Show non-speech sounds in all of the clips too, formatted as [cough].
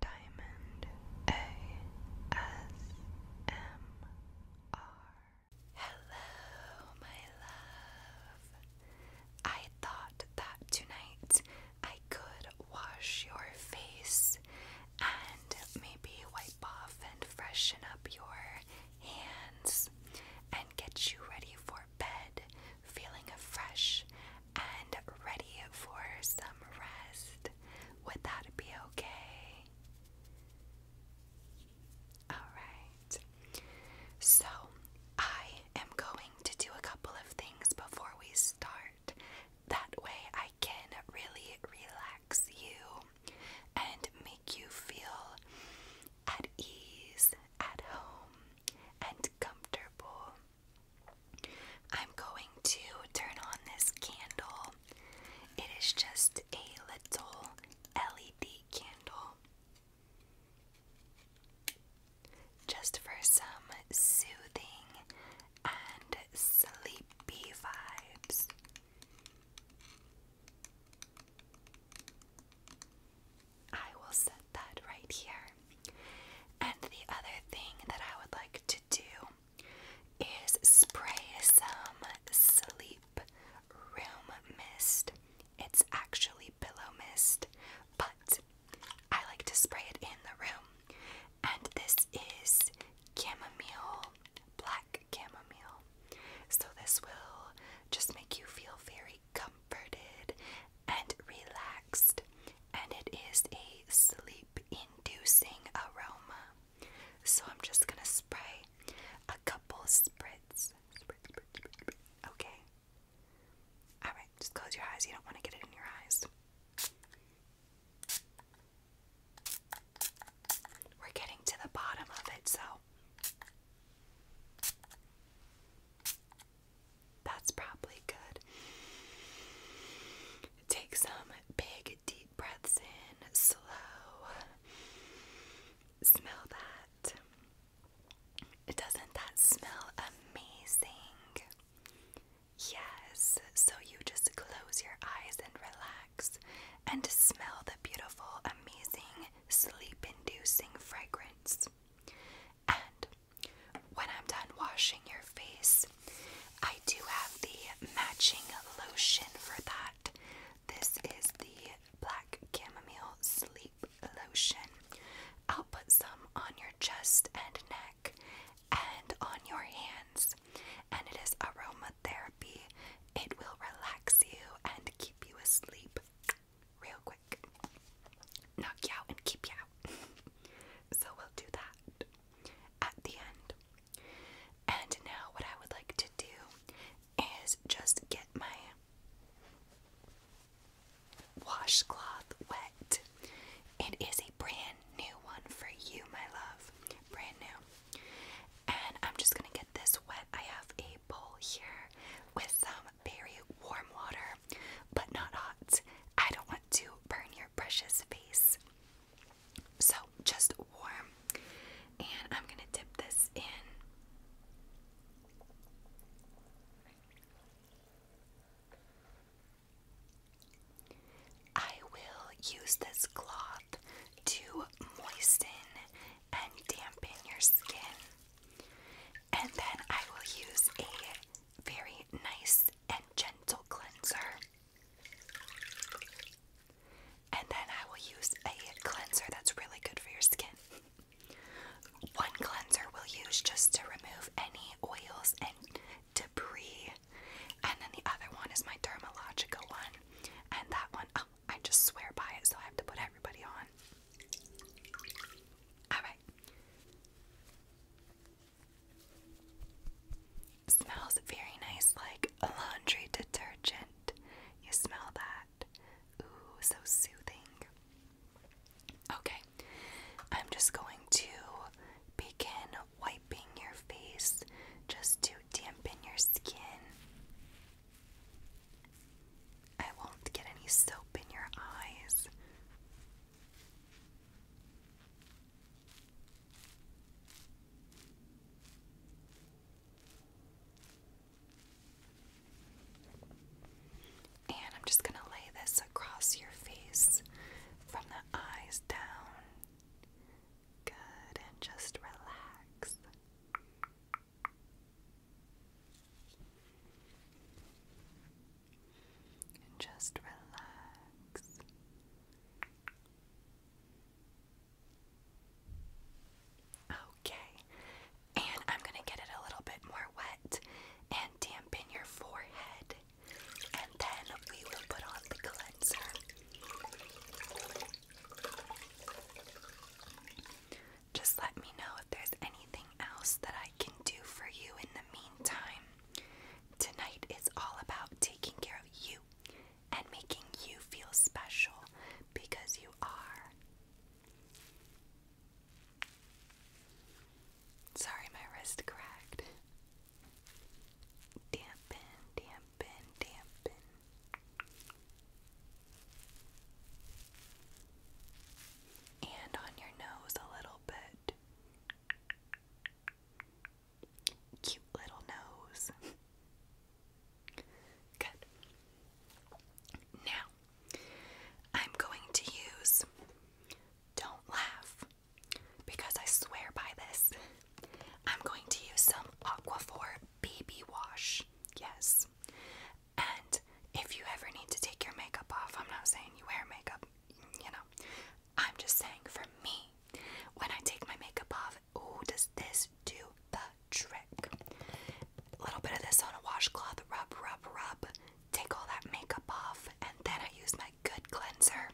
Diamond ASMR. Hello, my love. I thought that tonight I could wash your face and maybe wipe off and freshen up your hands and get you ready for bed, feeling fresh and ready for some rest. Would that be okay? Alright. So, I am going to do a couple of things before we start. That way, I can really relax you and make you feel at ease, at home, and comfortable. I'm going to turn on this candle. It is just a little LED candle. Just for some soothing and sleepy vibes. I will set that right here. And the other thing that I would like to do is spray some sleep room mist. It's actually pillow mist, but I like to spray it in the room. And this is chamomile, black chamomile. So this will just make you feel very comforted and relaxed. And it is a sleep inducing aroma. So I'm just gonna spray a couple spritzes. Okay. Alright, just close your eyes. You don't want to get it in your eyes. We're getting to the bottom of it, so. That's probably good. Take some big deep breaths in, slow. Smell that. Doesn't that smell amazing? Yes. So you just close your eyes and relax and smell the beautiful, amazing, sleep inducing fragrance. And when I'm done washing your face, I do have the matching lotion for that. This is the Black Chamomile Sleep Lotion. I'll put some on your chest and neck and on your hands. And it is aromatherapy. It will relax you and keep you asleep real quick. Knock you out and keep you [laughs] so we'll do that at the end. And now, what I would like to do is just get my washcloth wet. It is a brand new one for you, my love. Brand new. And I'm just gonna get this wet. I have a bowl here with some very warm water but not hot. I don't want to burn your precious face. So, just warm. And I'm going to dip this in. I will use this cloth to moisten and dampen your skin. And then I will use a very nice and gentle cleanser. And then I will use a cleanser that's really good for your skin. One cleanser we'll use just to remove any oils and debris. And then the other one is my dermalogical one. And that one, oh, I just swear by it, so I have to put everybody on. Alright. Smells very nice like a laundry detergent. You smell that? Ooh, so soothing. Okay, I'm just going to begin wiping your face just to dampen your skin. I won't get any soap in your eyes. And I'm just going to lay this across your face from the eyes down. Good, and just relax and just relax. Okay, and I'm going to get it a little bit more wet and dampen your forehead, and then we will put on the cleanser. Just let me know if there's anything else that I can do for you in the meantime. Tonight is all about taking care of you and making you feel special because you are. Sorry, my wrist cracked. Dampen, dampen, dampen. And on your nose a little bit. Cute little nose. [laughs] Good. Now, I'm going to use Don't Laugh because I swear by this. I'm going to use some Aquaphor baby Wash. Yes. And if you ever need to take your makeup off, I'm not saying you wear makeup, you know, I'm just saying, for me, when I take my makeup off, ooh, does this do the trick? A little bit of this on a washcloth, rub, rub, rub, take all that makeup off, and then I use my good cleanser.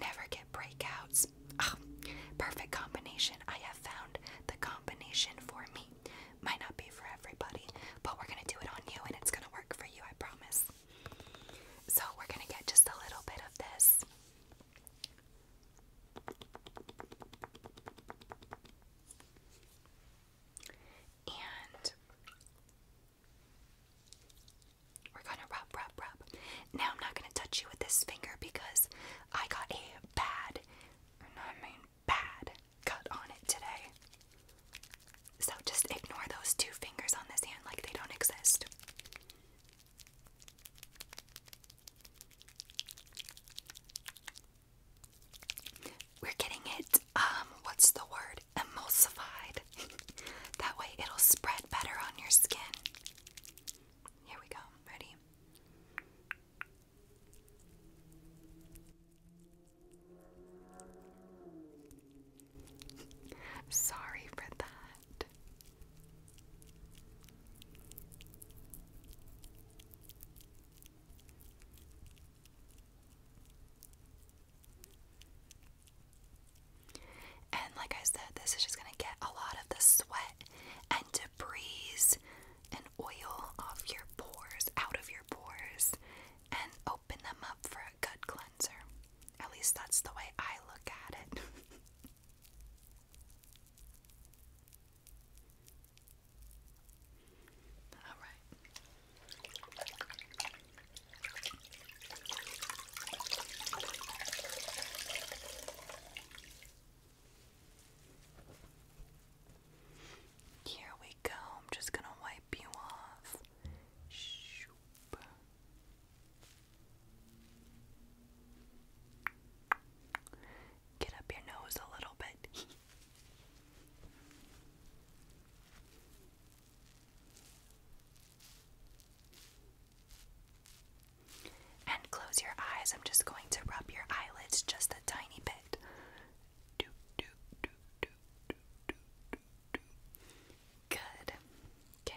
Never get breakouts. Ah, perfect combination. I have found the combination for me. Might not be for everybody, but we're gonna do it on you and it's gonna work for you, I promise. So we're going to get just a little bit of this. And we're going to rub, rub, rub. Now I'm not going to touch you with this finger because I got a bad, and I mean bad, cut on it today. So just ignore those two fingers on this hand like they don't exist. We're getting it, um, what's the word? Emulsified. [laughs] that way it'll spread better on your skin. Here we go, ready? Sorry for that. And like I said, this is just going to get a lot of the sweat and debris and oil off your pores, out of your pores, and open them up for a gut cleanser. At least that's the way I look at it. [laughs] All right. Here we go. I'm just going to wipe you off. Shoop. Get up your nose a little bit. [laughs] and close your eyes. I'm just going to rub your eyelids just a tiny bit. Good. Okay.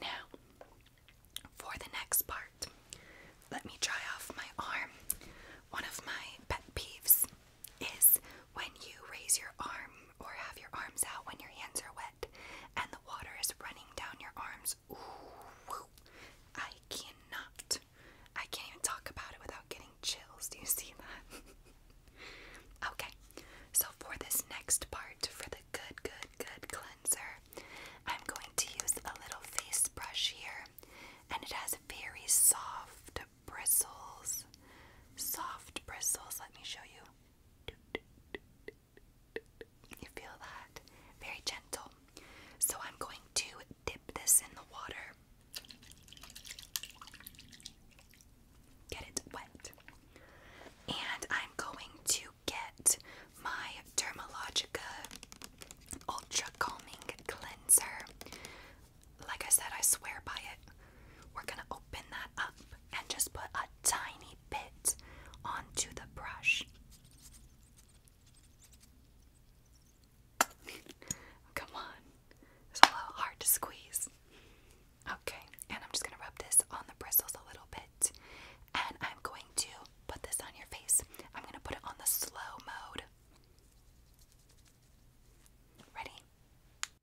Now, for the next part, let me dry off my arm. One of my pet peeves is when you raise your arm or have your arms out when your hands are wet and the water is running down your arms. Ooh, I cannot. I can't even talk about it without getting chills. Do you see that? [laughs] okay, so for this next part, for the good, good, good cleanser, I'm going to use a little face brush here, and it has very soft bristles. Soft bristles. Let me show you. You feel that? Very gentle. So I'm going to dip this in the water. Get it wet. And I'm going to get my Dermalogica Ultra Calming Cleanser. Like I said, I swear by it. We're gonna open that up and just put a tiny bit onto the brush. Come on, it's a little hard to squeeze. Okay, and I'm just gonna rub this on the bristles a little bit, and I'm going to put this on your face. I'm gonna put it on the slow mode. Ready?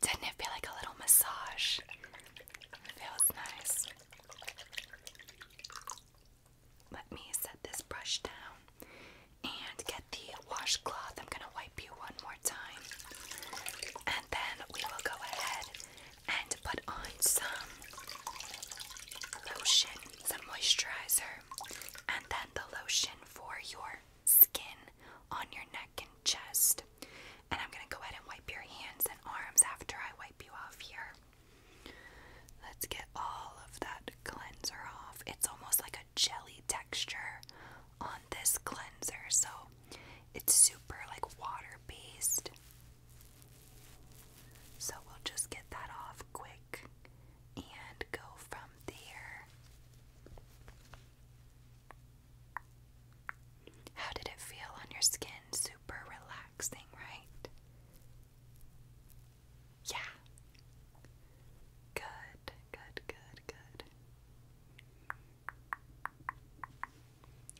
didn't it feel like a little massage? feels nice. Let me set this brush down and get the washcloth. I'm going to wipe you one more time. And then we will go ahead and put on some lotion, some moisturizer, and then the lotion for your skin on your neck and chest. And I'm going to go ahead and wipe your hands and arms after I wipe you off here. Let's get all of that cleanser off. It's almost like a jelly texture on this cleanser, so it's super like water based. So we'll just get that off quick and go from there. How did it feel on your skin? Super relaxing, right? Yeah. Good, good, good, good.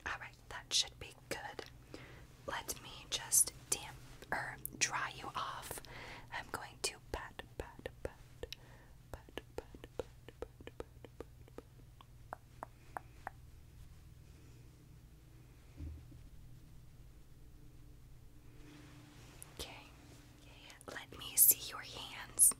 Alright, that should be good. Let me just damp or er, dry you off. I'm going to pat, pat, pat, pat, pat, pat, pat, pat, pat, pat, pat, Okay, let me see your hands.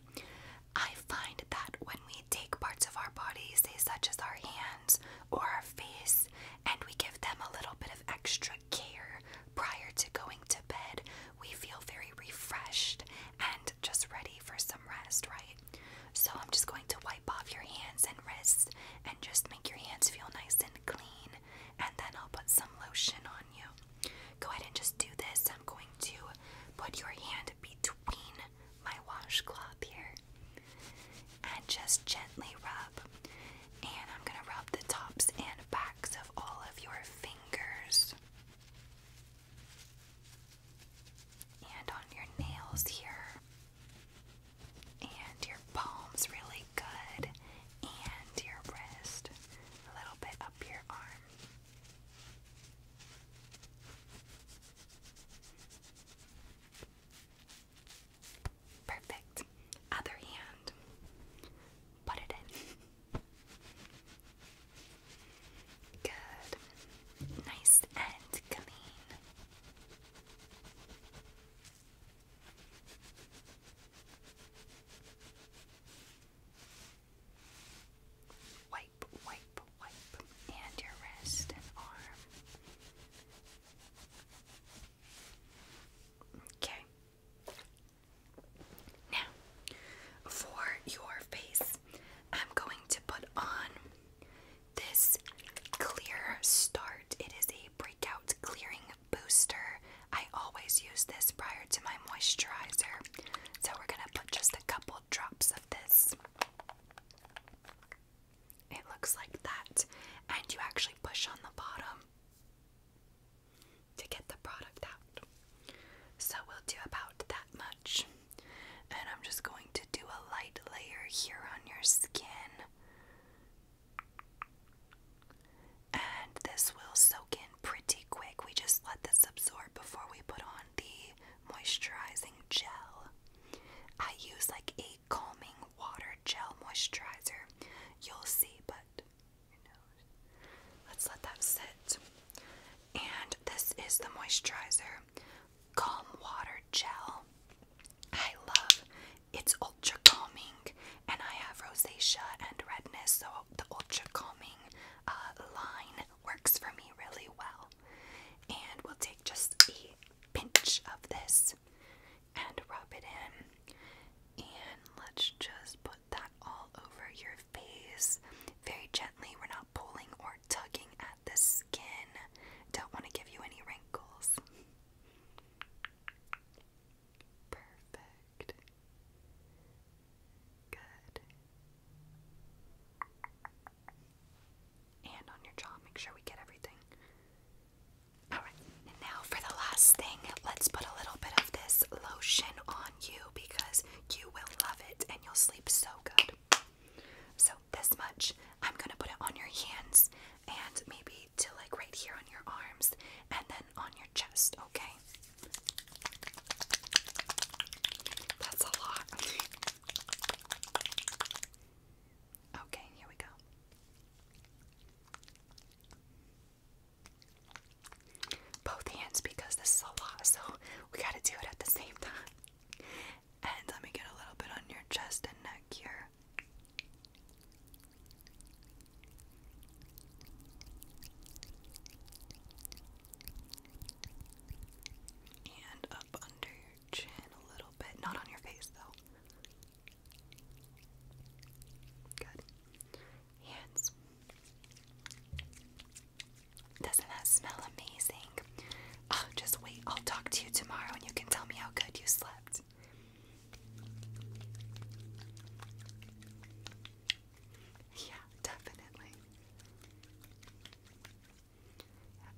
I find that when we take parts of our bodies, say such as our hands or our face, and we give them a little bit of extra care prior to going to bed, we feel very refreshed and just ready for some rest, right? So I'm just going to wipe off your hands and wrists and just make your hands feel nice and clean. And then I'll put some lotion on you. Go ahead and just do this. I'm going to put your hand between my washcloth here and just gently rub. And I'm going to rub the tops and backs of all of your fingers and on your nails here, and your palms really good, and your wrist a little bit up your arm. Perfect. Other hand. Put it in. Good. Nice and clean. Wipe, wipe, wipe, and your wrist and arm. Okay. Now, for your face, I'm going to put on this Clear Start. It is a breakout clearing booster. I always use this prior to my moisturizer. So we're going to put just a couple drops of this. It looks like that. And you actually push on the bottom to get the product out. So we'll do about that much. And I'm just going to do a light layer here on your skin. And this will soak in pretty quick. We just let this absorb before we put on the moisturizing gel. I use like a calming water gel moisturizer. You'll see, but Let's let that sit. And this is the moisturizer Calm Water Gel. I love it's ultra calming, and I have rosacea and redness, so the ultra calming uh, line works for me really well. And we'll take just a pinch of this and rub it in. And let's just put that all over your face very gently. We're not pulling or tugging at the skin. Don't want to give you any wrinkles. Perfect. Good. And on your jaw, make sure we get everything. Alright, now for the last thing, let's put a little bit of this lotion on you because you will love it and you'll sleep so good. So, this much, I'm gonna put it on your hands and maybe to like right here on your arms and then on your chest, okay? That's a lot. Okay, here we go both hands because this is a lot, so we gotta do it at the same time. And let me get a little bit on your chest and neck here. And up under your chin a little bit. Not on your face though. Good. Hands. Doesn't that smell amazing? Oh, just wait. I'll talk to you tomorrow and you can tell me how good you slept. Yeah, definitely.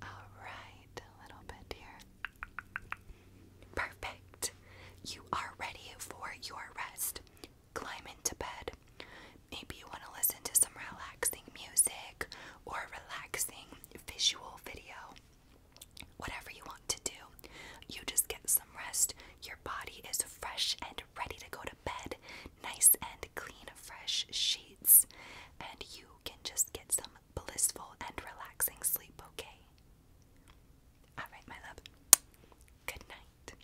Alright, a little bit here. Perfect. You are ready for your rest climb into bed. Maybe you want to listen to some relaxing music or a relaxing visual video. Whatever you want to do, you just get some rest. Your body is fresh and ready to go to bed. Nice and clean, fresh sheets. And you can just get some blissful and relaxing sleep, okay? Alright, my love. Good night.